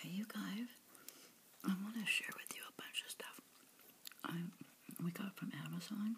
Hey, you guys, I want to share with you a bunch of stuff I we got from Amazon.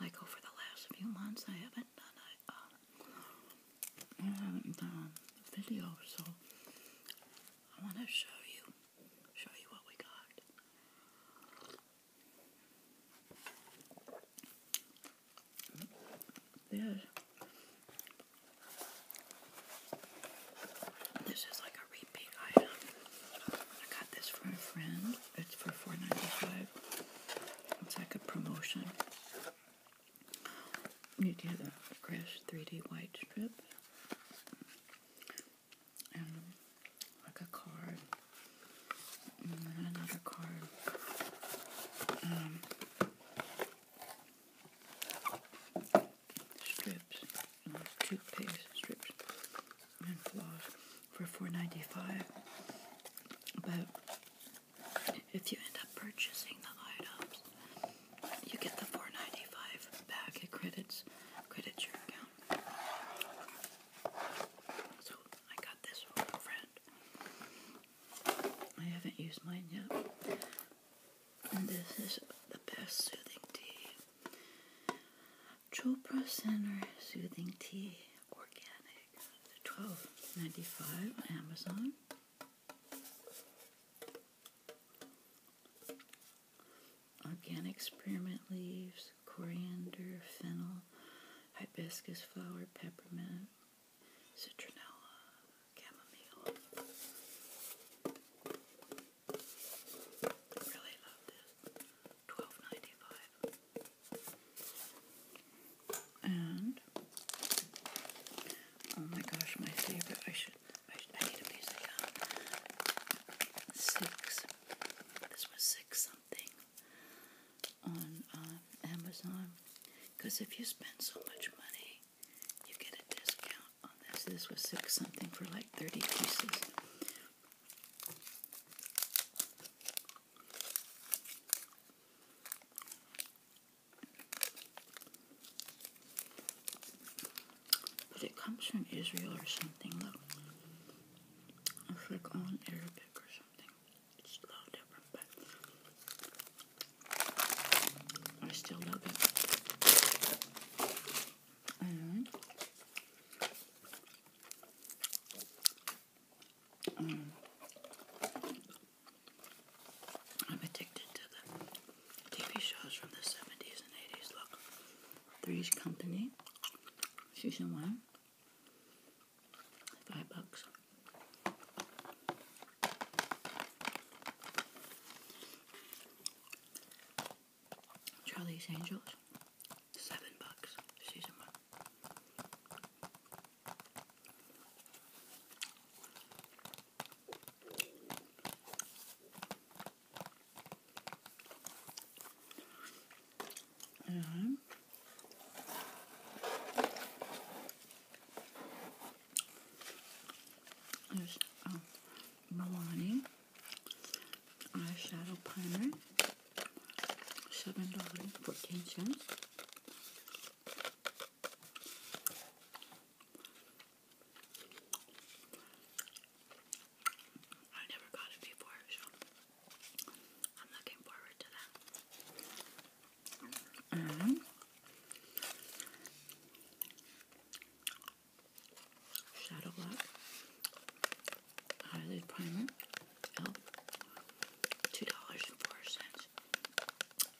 Like over the last few months, I haven't done uh, I haven't done video, so I want to show you show you what we got. This, this is like a repeat I got this from a friend. It's for four ninety five. It's like a promotion. You do the Crash 3D white strip and like a card and another card. Um, strips, toothpaste strips, and floss for four ninety five. But if you end up purchasing the items, you get the four ninety five back. It credits credits your account. So I got this from a friend. I haven't used mine yet. And this is the best soothing tea. Chopra Center Soothing Tea Organic. Twelve ninety five on Amazon. Organic spearmint leaves, coriander, fennel, hibiscus flower, peppermint citronella, chamomile. Really love this. Twelve ninety five. And oh my gosh, my favorite! I should, I, need a piece of Six. This was six something on um, Amazon. Because if you spend so much money, you get a discount on this. This was six something for like 30 pieces. But it comes from Israel or something, look. It's like all in Arabic or something. It's a little different, but I still love it. Mm-hmm. I'm addicted to the TV shows from the 70s and 80s. Look, Three's Company, season one, five bucks. Charlie's Angels, seven bucks, season one. Mm there's um, Milani eyeshadow primer, seven dollars fourteen cents. I never got it before, I'm looking forward to that. Mm -hmm. Shadow Block Eyelid Primer, Elf, dollars and four cents.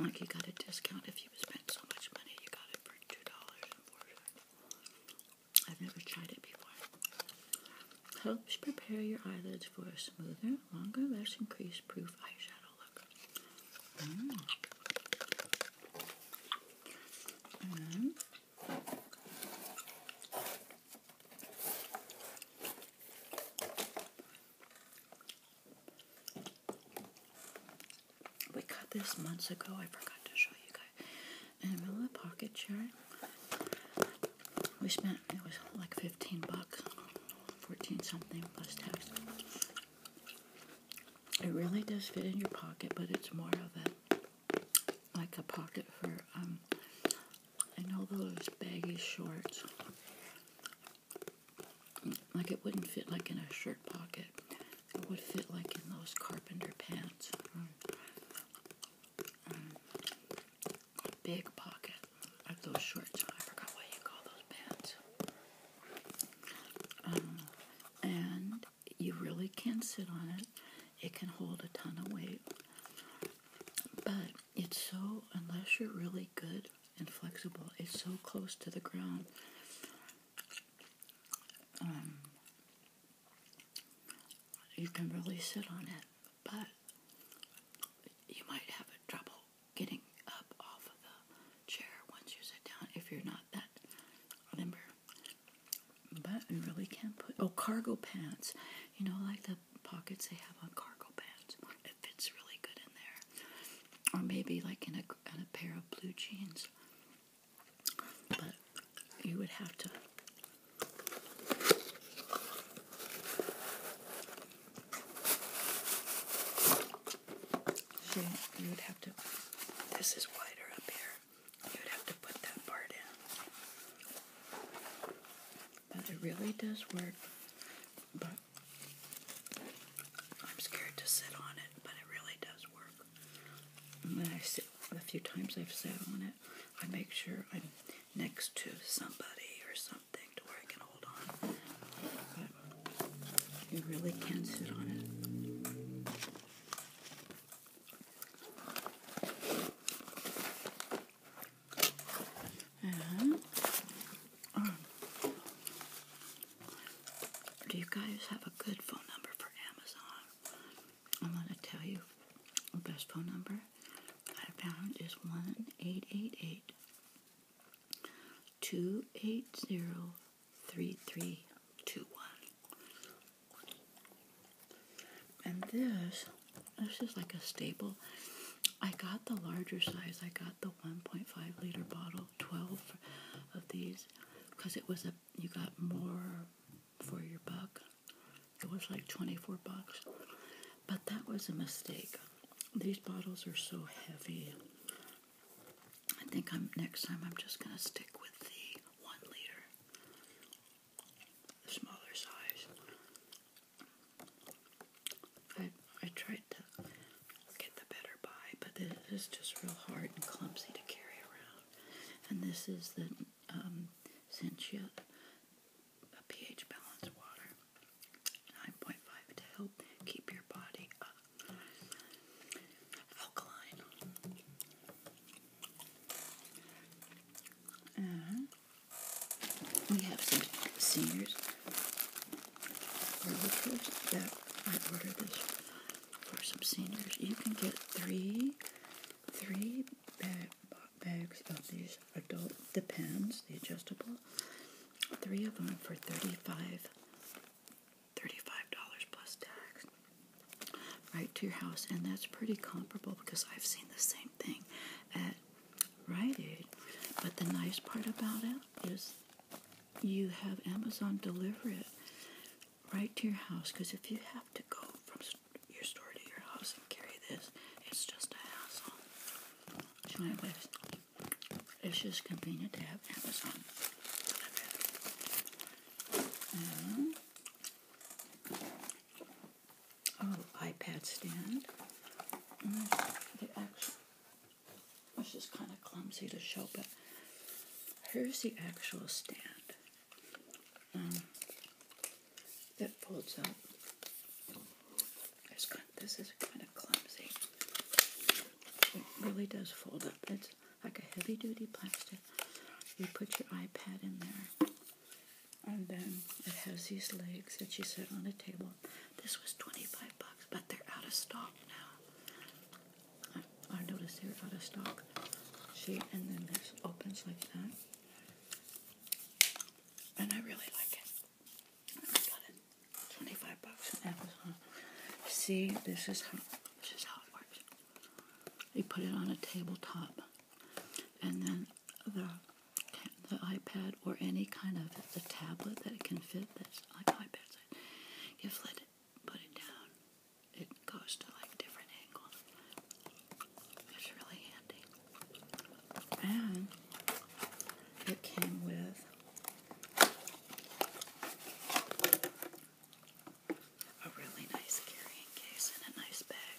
Like you got a discount if you spent so much money, you got it for two dollars and four cents. I've never tried it before. Helps prepare your eyelids for a smoother, longer, less crease proof eyeshadow Mm-hmm. we got this months ago. I forgot to show you guys. In a little pocket chair. We spent it was like fifteen bucks, fourteen something plus tax. It really does fit in your pocket, but it's more of a like a pocket for um I know those baggy shorts. Like it wouldn't fit like in a shirt pocket. It would fit like in those carpenter pants. Um, um, big pocket of those shorts. I forgot what you call those pants. Um, and you really can sit on it. It can hold a ton of weight. But it's so, unless you're really good and flexible, it's so close to the ground. Um, you can really sit on it, but you might have trouble getting up off of the chair once you sit down if you're not that limber. But you really can't put oh cargo pants. You know, like the pockets they have on cargo pants. It fits really good in there. Or maybe like in a, in a pair of blue jeans. But you would have to so you would have to, this is wider up here. You would have to put that part in. But it really does work. But I'm scared to sit on it, but it really does work. And when I sit, a few times I've sat on it, I make sure I'm next to somebody or something to where I can hold on. you really can not sit on it. And, uh-huh. um, do you guys have a good phone number for Amazon? I'm going to tell you the best phone number I found is one eight eight eight two eight zero three three two one. And this, this is like a staple. I got the larger size. I got the 1.5 liter bottle, 12 of these, because it was a, you got more for your buck. It was like 24 bucks. But that was a mistake. These bottles are so heavy. I think I'm next time I'm just gonna stick with the one liter, the smaller size. I I tried to get the better buy, but it is just real hard and clumsy to carry around. And this is the um, pH balance water, 9.5 to help keep your body up alkaline. And uh-huh. we have some seniors I ordered this for some seniors. You can get three, three bags of these adult depends, the adjustable. Three of them for thirty-five $35 plus tax right to your house, and that's pretty comparable because I've seen the same thing at Rite Aid. But the nice part about it is you have Amazon deliver it right to your house because if you have to go from your store to your house and carry this, it's just a hassle. It's just convenient to have Amazon. Um, oh, iPad stand. Mm, they which is kind of clumsy to show, but here's the actual stand um, that folds up. this is kind of clumsy. It really does fold up. It's like a heavy duty plastic. You put your iPad in there. And then it has these legs that you set on a table. This was 25 bucks, but they're out of stock now. I, noticed they're out of stock. and then this opens like that. And I really like it. I got it 25 bucks on Amazon. See, this is how this is how it works. You put it on a tabletop, and then the the iPad or any kind of the tablet that it can fit. That's like iPads. size. You flip it, put it down. It goes to like different angles. It's really handy, and it came with. A really nice carrying case and a nice bag.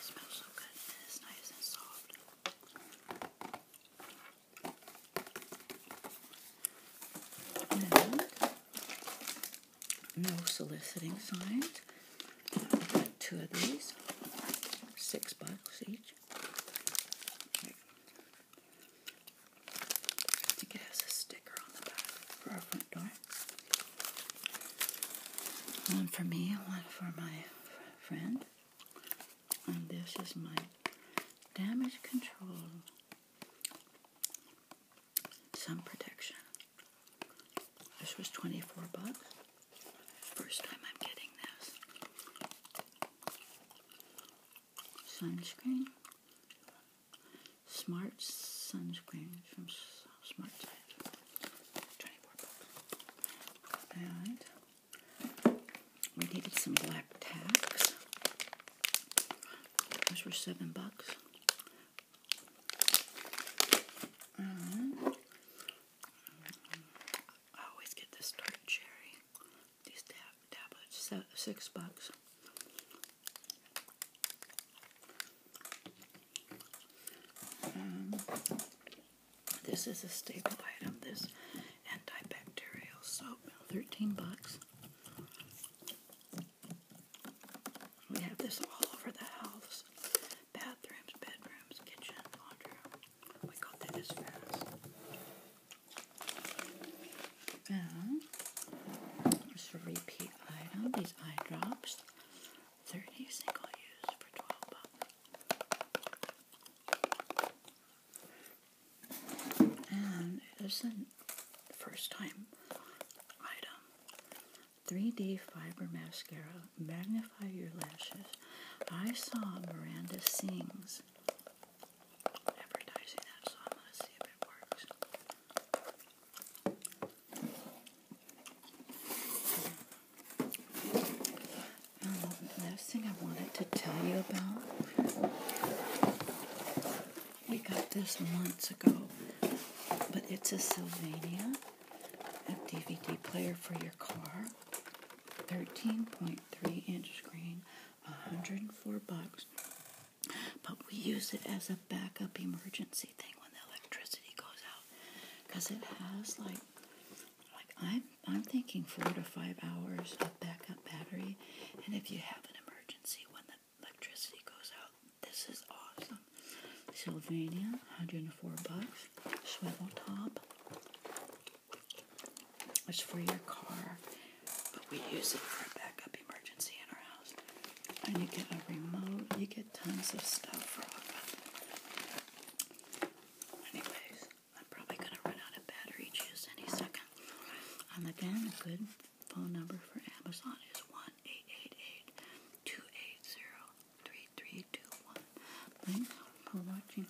smells so good and it's nice and soft. no soliciting signs. I got two of these, six bucks each. I think it a sticker on the back for our front door. One for me, one for my friend. And this is my damage control. Sun protection. This was 24 bucks. First time I'm getting this sunscreen. Smart sunscreen from Smart Tide. we needed some black tacks. Those were seven bucks. Mm-hmm. I always get this dark cherry these tablets, six bucks. Um, this is a staple item. This antibacterial soap, thirteen bucks. We have this all over the house: bathrooms, bedrooms, kitchen, laundry. We go this fast. And a repeat item. These eye drops, 30 single use for 12 bucks. And it's a first time item. 3D Fiber Mascara, Magnify Your Lashes. I saw Miranda Sings the um, last thing I wanted to tell you about, we got this months ago, but it's a Sylvania, DVD player for your car, 13.3 inch screen, 104 bucks. But we use it as a backup emergency thing when the electricity goes out, because it has like, like I'm I'm thinking four to five hours of backup battery, and if you have an emergency when the electricity goes out, this is awesome. Sylvania, 104 bucks. Swivel top. It's for your car, but we use it for a backup emergency in our house. And you get a remote, you get tons of stuff for ARPA. Anyways, I'm probably going to run out of battery juice any second. And um, again, a good phone number for Amazon is 1 888 280 Thanks for watching.